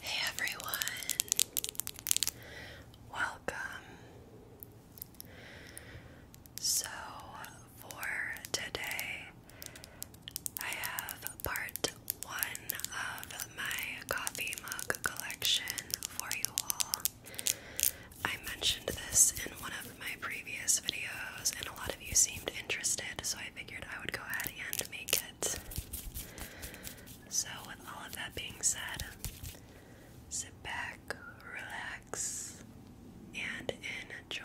Hey everyone, welcome. So, for today, I have part one of my coffee mug collection for you all. I mentioned this in one of my previous videos, and a lot of you seemed interested, so I figured I would go ahead and make it. So, with all of that being said, sit back, relax, and enjoy.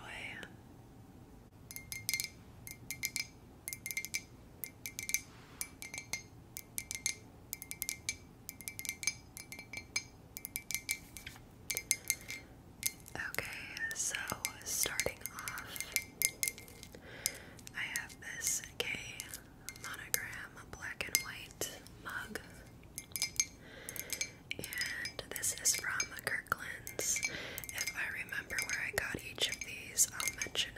Okay, so starting off I have this K monogram black and white mug. And this is from Kirkland's. If I remember where I got each of these, I'll mention it.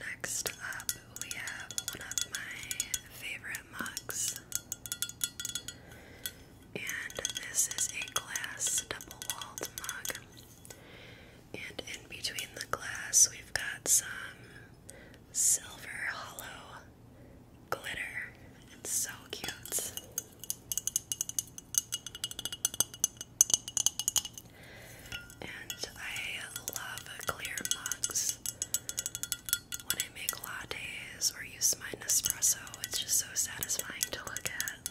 Next up, we have one of my favorite mugs, and this is a glass double walled mug. And in between the glass, we've got some silver hollow glitter. It's so cute. And I love clear mugs when I make lattes or use my Nespresso. It's just so satisfying to look at.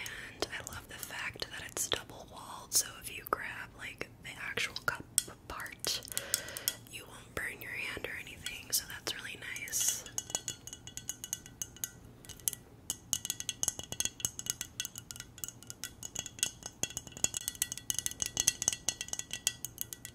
And I love the fact that it's double walled, so if you grab like the actual cup part, you won't burn your hand or anything, so that's really nice.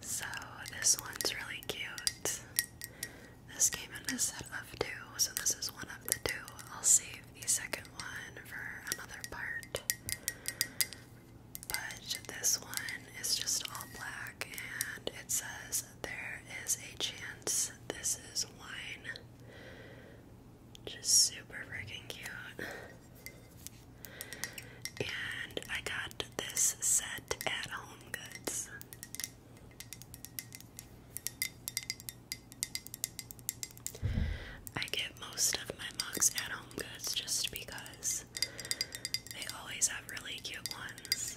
So, this one's really cute. This came in a set of two, so this is one of the two. I'll save the second one for another part. But this one is just all black and it says there is a chance this is wine. Just super freaking cute. And I got this set at Home Goods. I get most of my mugs at Home Goods just because they always have really cute ones.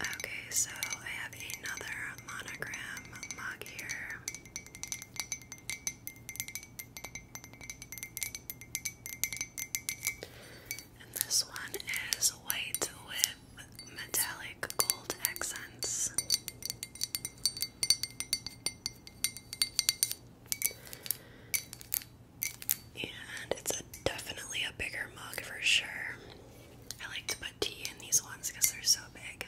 Okay, so I have another monogram mug here. And this one is white with metallic gold accents. And it's definitely a bigger mug for sure. I like to put put tea in these ones because they're so big.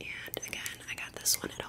And again, I got this one at Home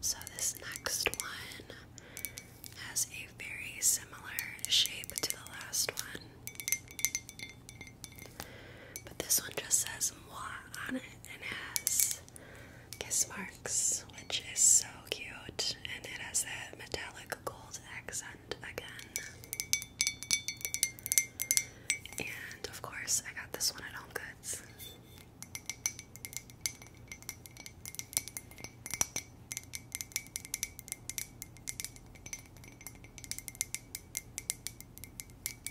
So, this next one has a very similar shape to the last one. But this one just says moi on it and has kiss marks, which is so cute. And it has that metallic gold accent again. And of course, I got this one at Home Goods.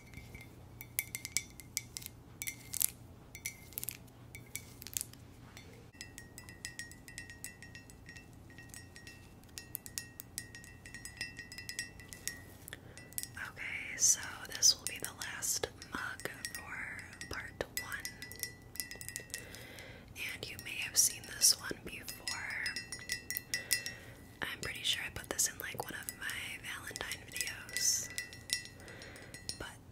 Okay, so this will be the last mug for part one. And you may have seen this one before. I'm pretty sure I put this in like one of my Valentine videos. But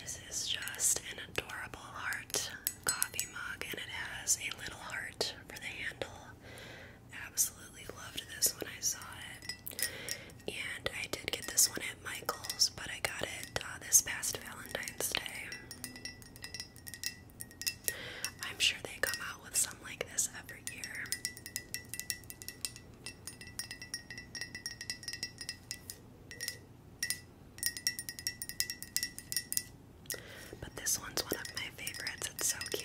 this is just an adorable heart coffee mug, and it has a little heart for the handle. Absolutely loved this when I saw it. And I did get this one at Michael's, but I got it uh, this past Valentine's Day. I'm sure they come out with some like this every. But this one's one of my favorites. It's so cute.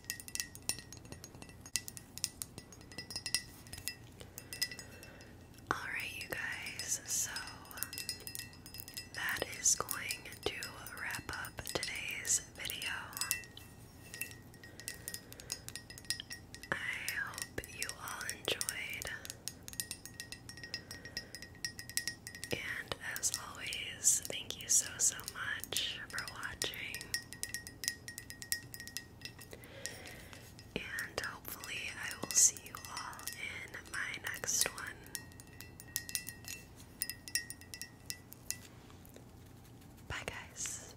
Alright, you guys, so that is going to wrap up today's video. I hope you all enjoyed. And as always, thank you so, so much for watching. And hopefully, I will see you all in my next one. Bye, guys.